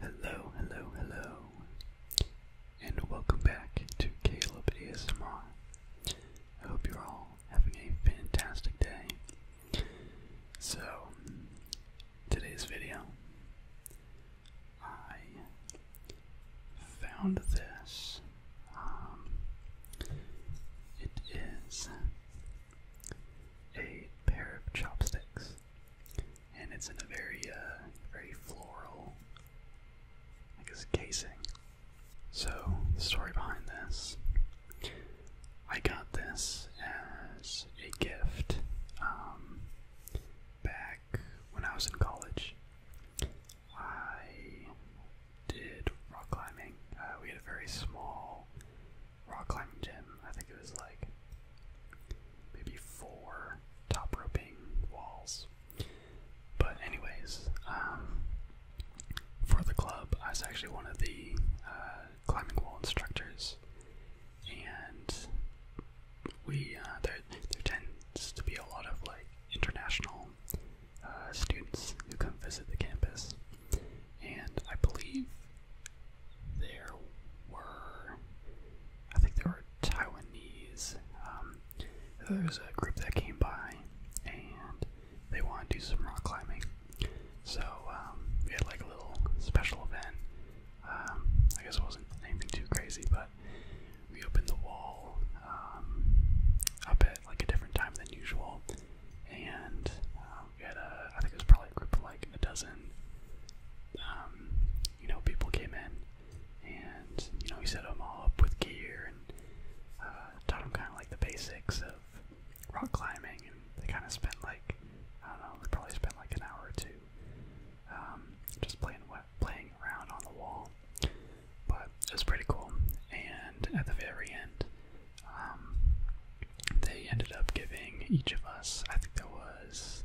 Hello, hello, hello, and welcome back to Caleb ASMR. I hope you're all having a fantastic day. So, today's video I found this. Um, it is a pair of chopsticks, and it's in a very, uh, very floral, I guess, casing. So, the story behind this I got this as a gift um, back when I was in college, I did rock climbing. Uh, we had a very small rock climbing gym. I think it was like maybe four top roping walls. But anyways, um, for the club, I was actually one of the uh, climbing wall instructors, and we uh, there there tends to be a lot of like international uh, students who come visit the campus, and I believe there were I think there were Taiwanese. Um, there was a group that came by, and they wanted to do some rock climbing. So um, we had like a little special event. Um, I guess it wasn't anything too crazy, but but we opened the wall um, up at like a different time than usual, and uh, we had a I think it was probably a group of like a dozen. Um, you know, people came in, and you know we set them all up with gear and uh, taught them kind of like the basics of rock climbing, and they kind of spent like I don't know, they probably spent like an hour or two um, just playing playing around on the wall. But it was pretty cool. And at the very end, um, they ended up giving each of us. I think there was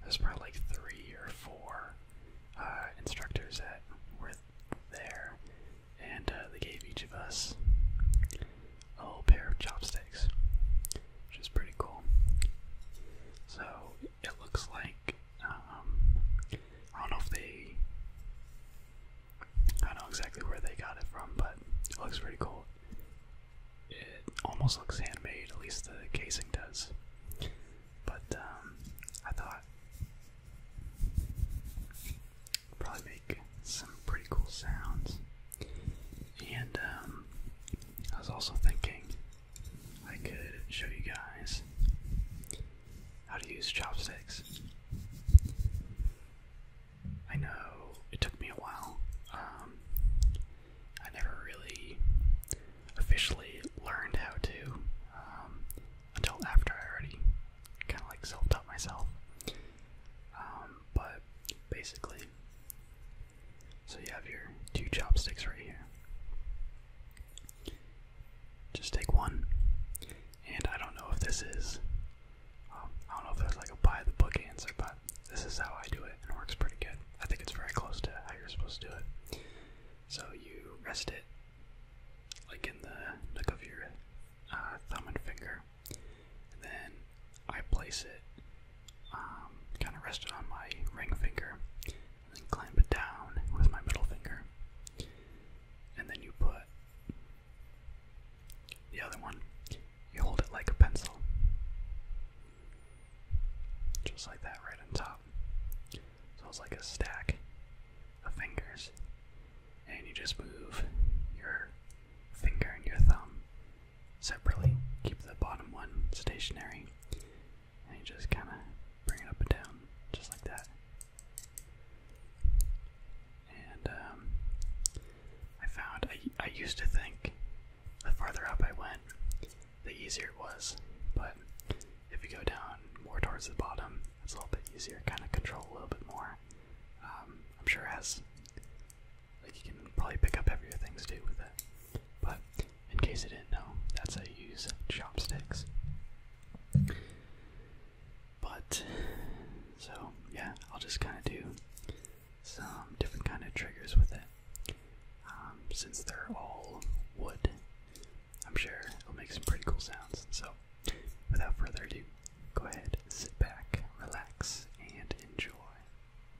there was probably like three or four uh, instructors that were there, and uh, they gave each of us a little pair of chopsticks which is pretty cool. So it looks like um, I don't know if they I don't exactly where they got it from, but it looks pretty cool. It almost looks handmade, at least the casing does. But um, I thought probably make some pretty cool sounds. And um, I was also thinking I could show you guys how to use chopsticks. I know it took me a while. Um, I never really officially learned how to um, until after I already kind of like self taught myself. Um, but basically, so you have your two chopsticks right here. Just take one, and I don't know if this is, um, I don't know if that's like a buy the book answer, but this is how I do it, and it works pretty good. I think it's very close to how you're supposed to do it. So you rest it like in the nook of your uh, thumb and finger, and then I place it, um, kind of rest it on my ring finger, and clamp it down with my middle finger. And then you put the other one, you hold it like a pencil. Just like that, right on top. So it's like a stack of fingers. And you just move your finger and your thumb separately. Keep the bottom one stationary and you just kind of bring it up and down, just like that. And um, I found I, I used to think the farther up I went, the easier it was, but if you go down more towards the bottom, it's a little bit easier, kind of control a little bit more. Um, I'm sure as like, you can probably pick up heavier things too with it. But in case I didn't know, that's how you use chopsticks. But so yeah, I'll just kind of do some different kind of triggers with it. Um, since they're all wood, I'm sure it'll make some pretty cool sounds. So without further ado, go ahead, sit back, relax, and enjoy.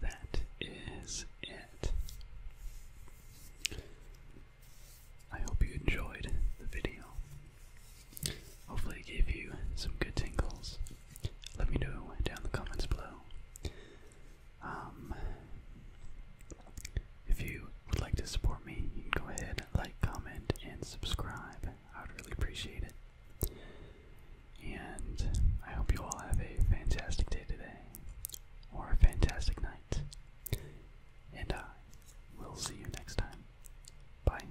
That is it. I hope you enjoyed the video. Hopefully, gave you some good tingles. Let me know down in the comments below. Um, if you would like to support me, you can go ahead, like, comment, and subscribe. I would really appreciate it. And I hope you all have a fantastic day today, or a fantastic night. And I will see you next time. Bye.